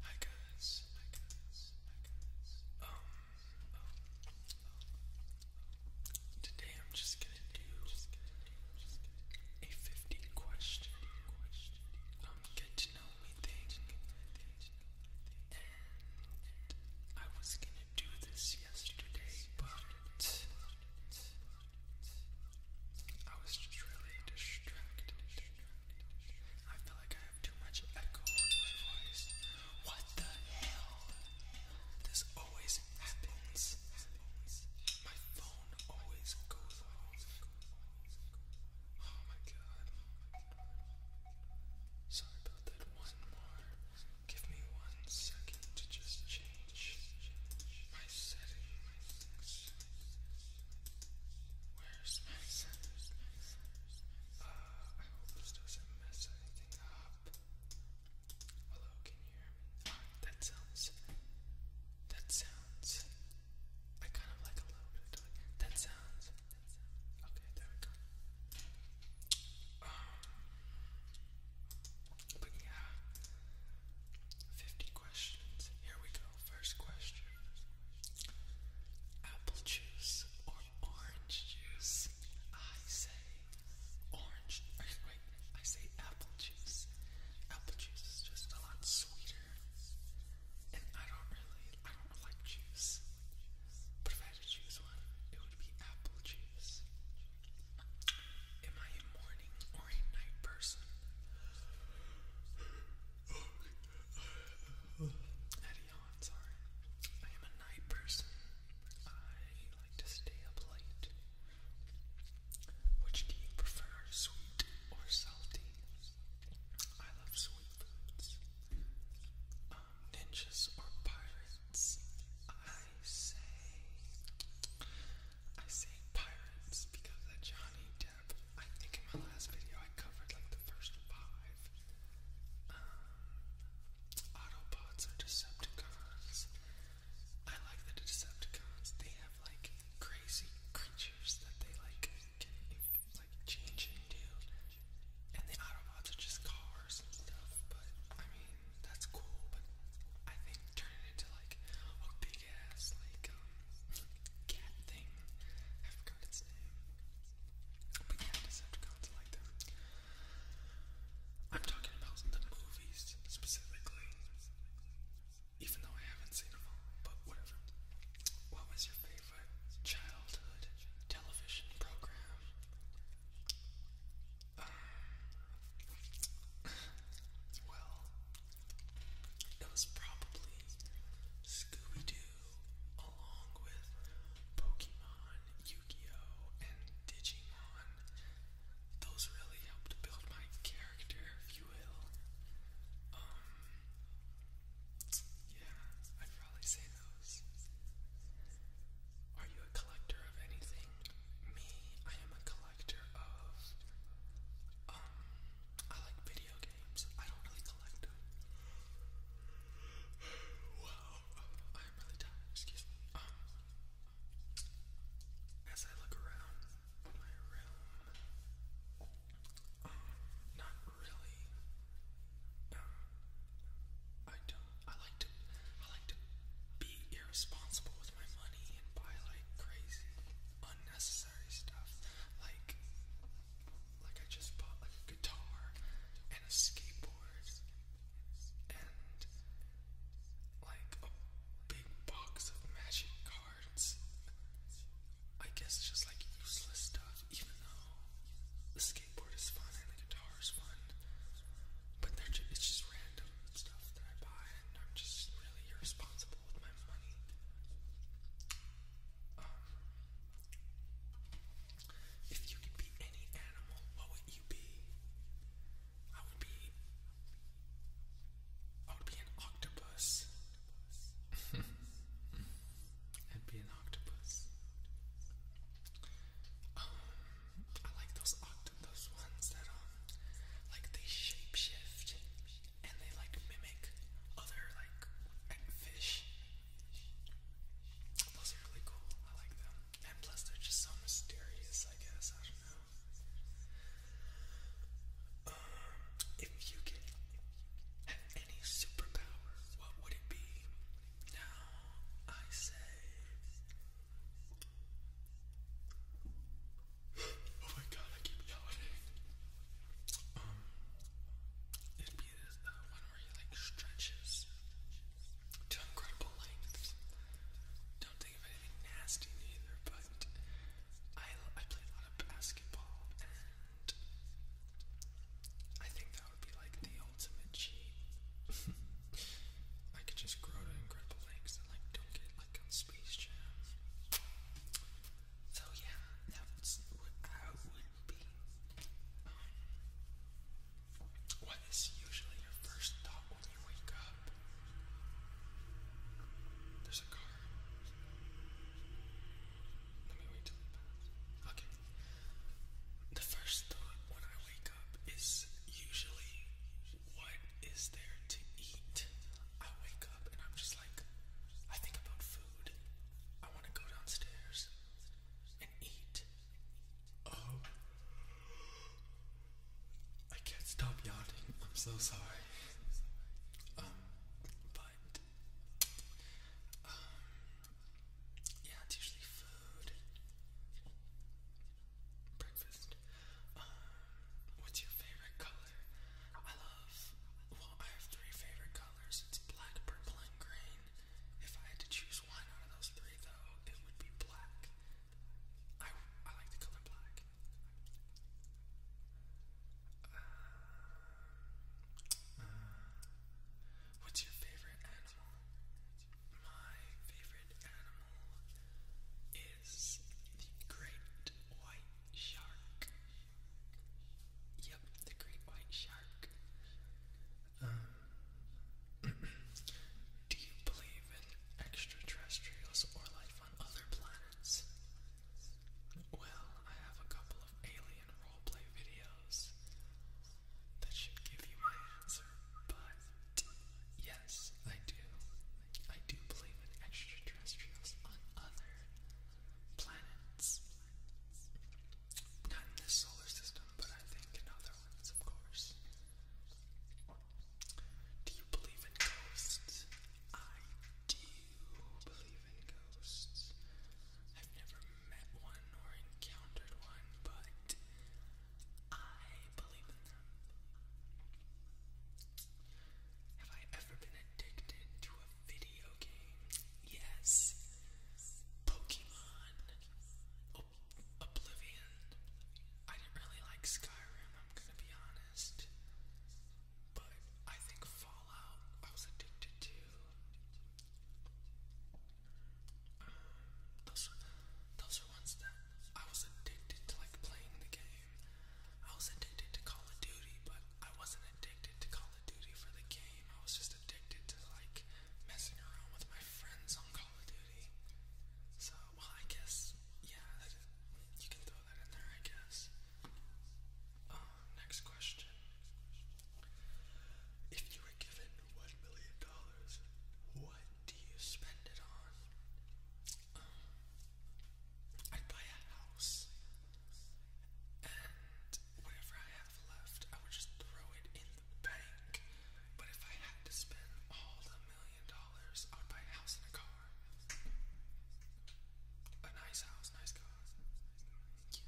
Hi guys, um, um, um, today I'm just gonna do a 50 question, um, get to know me thing. And I was gonna do this yesterday, but I was just really distracted. I feel like I have too much echo on my voice. What the hell? This always happens. My phone always goes Oh my god. Sorry about that. One more. Give me one second to just change my settings. Where's my son? Uh, I hope this doesn't mess anything up. Hello, can you hear me? Ah, that sounds. That sounds. I kind of like a little bit of that sounds. Okay, there we go. Um, but yeah, 50 questions. Here we go first question Apple juice or orange juice? I say orange. Wait, I say apple juice. Apple juice is just a lot sweeter. And I don't really, I don't like juice. But if I had to choose one, it would be apple juice. Am I a morning or a night person? Eddie Hahn, sorry. I am a night person. I like to stay up late. Which do you prefer, sweet or salty? I love sweet foods. Um, ninjas or pirates? I say I say pirates because of Johnny Depp. I think in my last video I covered like the first five. Um, Autobots are Decepticons. I like the Decepticons. They have like crazy creatures that they like can like change into, and the Autobots are just cars and stuff. But I mean that's cool. But I think turn it into like a big ass like um cat thing. I forgot its name. But yeah, Decepticons I like them. I'm talking about the movies specifically. Even though I haven't seen them all, but whatever. What was your favorite childhood television program? Um, well, it was probably Scooby Doo along with Pokemon, Yu Gi Oh! and Digimon. Those really helped build my character, if you will. Um, yeah, I'd probably say those. Are you a collector of anything? Me, I am a collector of, um, I like video games. I don't really collect Wow, I'm really tired. Excuse me. Um, as I look around my room, um, not really. Um, I don't. I like to. I like to be irresponsible with my money and buy like crazy unnecessary stuff. Like like I just bought like a guitar and a skateboard and like a big box of magic cards. I guess just like useless stuff, even though the skateboard is fun and the guitar is fun. But they're ju it's just random stuff that I buy and I'm just really irresponsible if you could be any animal, what would you be? I would be. I would be an octopus. I'd be an octopus. Um, I like those octopus ones that um, like they shape shift and they like mimic other like fish. Those are really cool. I like them. And plus they're just so mysterious, I guess. I don't know. Um, if you could have any superpower, what would it be? Now I say Oh my god, I keep yawning. Um, it'd be this uh, one where he like stretches to incredible lengths. Don't think of anything nasty either, but I, I play a lot of basketball and I think that would be like the ultimate cheat. I could just grow to incredible lengths and like don't get like on Space Jam. So yeah, that what I would be. what is usually your first thought when you wake up? There's a car. Let me wait till it passes. Okay. The first thought when I wake up is usually what is there to eat? I wake and I'm just like, I think about food. I want to go downstairs and eat. Oh. I can't stop yawning. I'm so sorry. Um, but, um, yeah, it's usually food. Breakfast. Um, what's your favorite color? I love, well, I have three favorite colors. It's black, purple, and green. If I had to choose one out of those three, though, it would be black. I, I like the color black. Uh, what's your favorite animal? My favorite animal is the great white shark. Yep, the great white shark. Um, do you believe in extraterrestrials or life on other planets? Well, I have a couple of alien roleplay videos that should give you my answer, but yes, I do. I do believe in extraterrestrials on other planets. Not in this solar system, but I think in other ones, of course. Do you believe in ghosts? I do believe in ghosts. I've never met one or encountered one, but I believe in them. Have I ever been addicted to a video game? Yes. Pokemon. Oblivion. I didn't really like Skyrim, I'm gonna be honest. But I think Fallout I was addicted to. Um, those, those are ones that I was addicted to like playing the game. I was addicted to Call of Duty, but I wasn't addicted to Call of Duty for the game. I was just addicted to like messing around with my friends on Call of Duty. So, well, I guess, yeah, you can throw that in there, I guess. Uh, next question. If you were given one million dollars, what do you spend it on? Um, I'd buy a house, and whatever I have left, I would just throw it in the bank. But if I had to spend all the million dollars, I would buy a house and a car. A nice house, nice car. Yeah.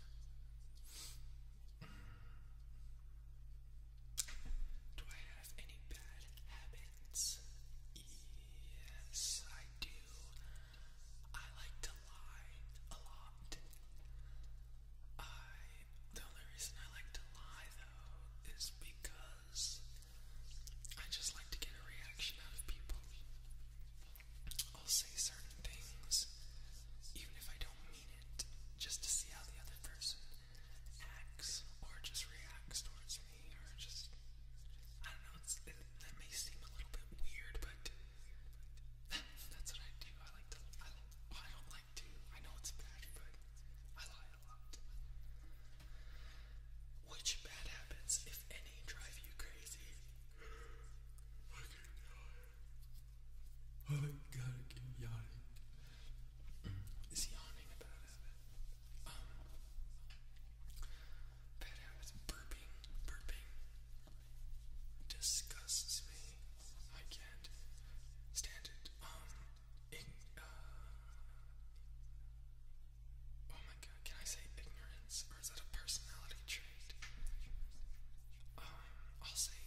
Do I have any bad habits? Yes, I do. I like to lie a lot. the only reason I like to lie though is because I just like to get a reaction out of people. I'll say certain things even if I don't mean it, just to see how the other person acts or just reacts towards me or just I don't know. It's, that may seem a little bit weird, but that's what I do. I like to. I, like, I don't like to. I know it's bad, but I lie a lot. Which bad habits, if any, drive you crazy? I gotta keep yawning. Is yawning a bad Bad habits. Burping. Burping. Disgusts me. I can't stand it. Um, uh, oh my god, can I say ignorance? Or is that a personality trait? Um, I'll say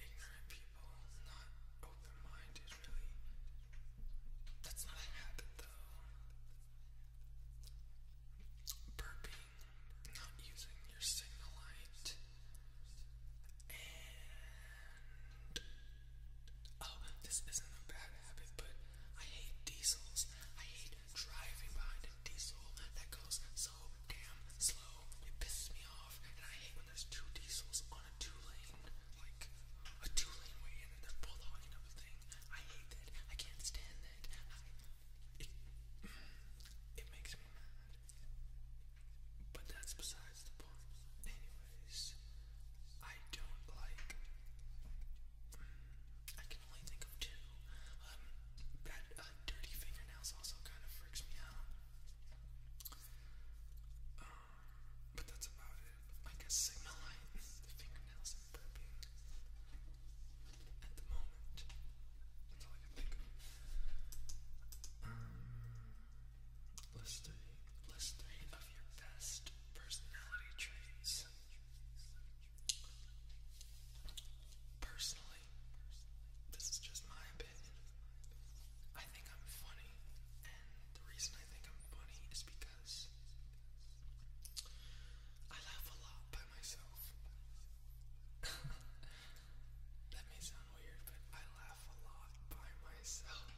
ignorant people, not open-minded really. That's not a habit though burping, not using your signal light, and oh, this isn't a bad habit, but I hate diesels. I hate driving behind a diesel that goes so damn slow. It pisses me off, and I hate when there's two diesels on a two lane, like a two lane way and they're both up a thing. I hate that. I can't stand that. it, makes me mad. But that's besides the point. Anyways, I don't like. Mm, I can only think of two. Um, uh, dirty fingernails also kind of freaks me out. Uh, but that's about it. I guess Sigma Light, the fingernails is appropriate at the moment. That's all I can think of. Um, list three. List three of your uh, best personality traits. Personally, this is just my opinion. I think I'm funny, and the reason I think I'm funny is because. I laugh a lot by myself. that may sound weird, but I laugh a lot by myself.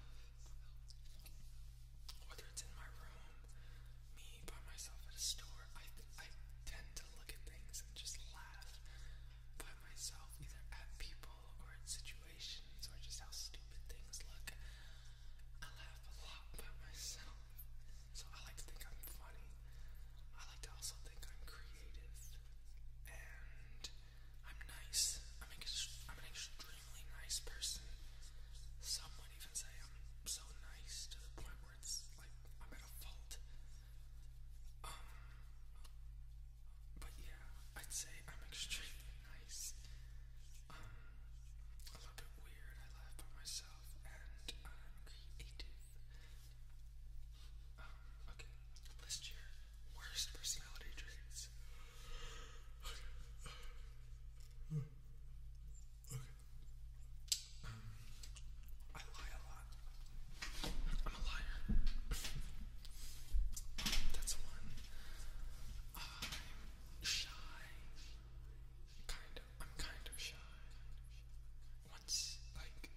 Whether it's in my room, me by myself at a store, I, I tend to look at things and just laugh by myself, either at people or situations or just how stupid things look. I laugh a lot by myself, so I like to think I'm funny. I like to also think I'm creative, and I'm nice. I'm an, extremely nice person. Some would even say I'm so nice to the point where it's like I'm at a fault. Um, but yeah, I'd say I'm extremely nice um, a little bit weird. I laugh by myself and I'm creative. Um, okay, list your worst personality traits. Okay. Okay. Um, I lie a lot. I'm a liar. That's one. I'm shy. Kind of. I'm kind of shy. Once, like,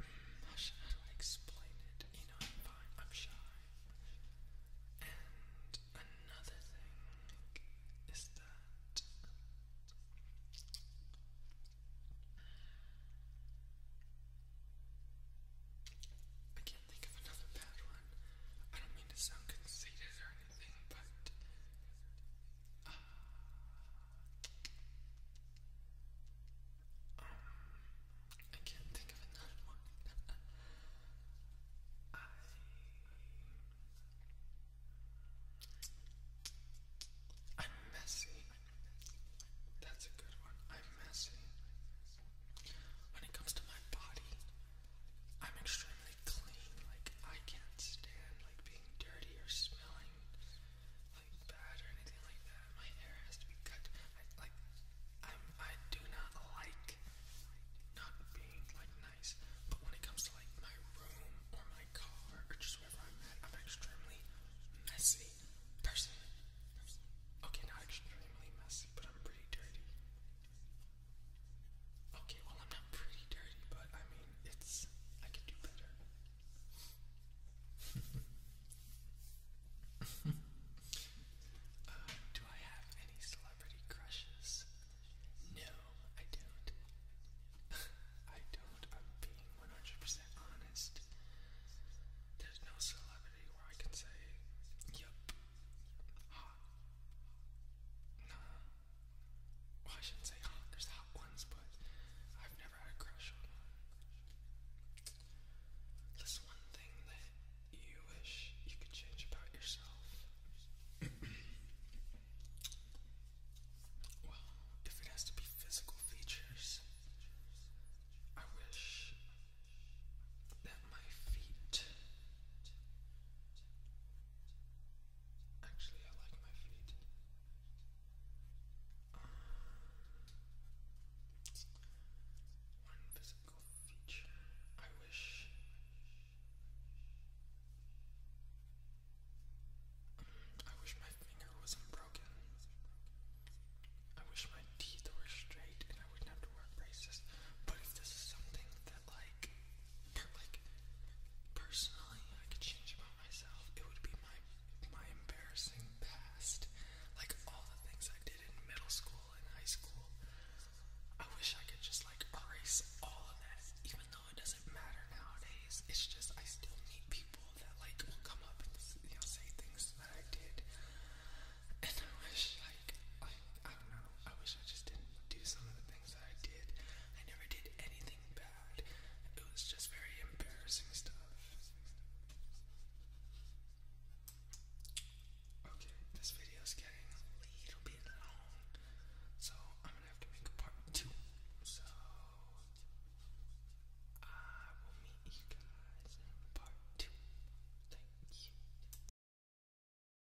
hmm, how do I explain it? You know, I'm shy. And another thing is that I can't think of another bad one. I don't mean to sound conceited or anything everything, but I can't think of another one. I'm messy. That's a good one. I'm messy. When it comes to my body, I'm extremely clean. Like I can't stand like being dirty or smelling like bad or anything like that. My hair has to be cut. I, like I'm, I do not like not being like nice. But when it comes to like my room or my car or just wherever I'm at, I'm extremely messy person. Okay, not extremely messy, but I'm pretty dirty. Okay, well, I'm not pretty dirty, but I mean, it's. I can do better. Um, do I have any celebrity crushes? No, I don't. I don't. I'm being 100% honest. There's no celebrity where I can say, yep, hot. Well, I shouldn't say hot. There's hot ones, but I've never had a crush on one. This one thing that you wish you could change about yourself. well, if it has to be physical features, I wish that my feet Actually, I like my feet. one physical feature I wish. I wish my finger wasn't broken. I wish my teeth were straight and I wouldn't have to wear braces. But if this something that like, like personally, I could change about myself. It would be my my embarrassing past, like all the things I did in middle school and high school. I wish I could just like erase all of that, even though it doesn't matter nowadays. It's just I still meet people that like will come up and say things that I did, and I wish I like, I, I don't know, I wish I just didn't do some of the things that I did. I never did anything bad, it was just very embarrassing stuff. Okay, this video's getting a little bit long, so I'm gonna have to make part two. So, I will meet you guys in part two. Thank you.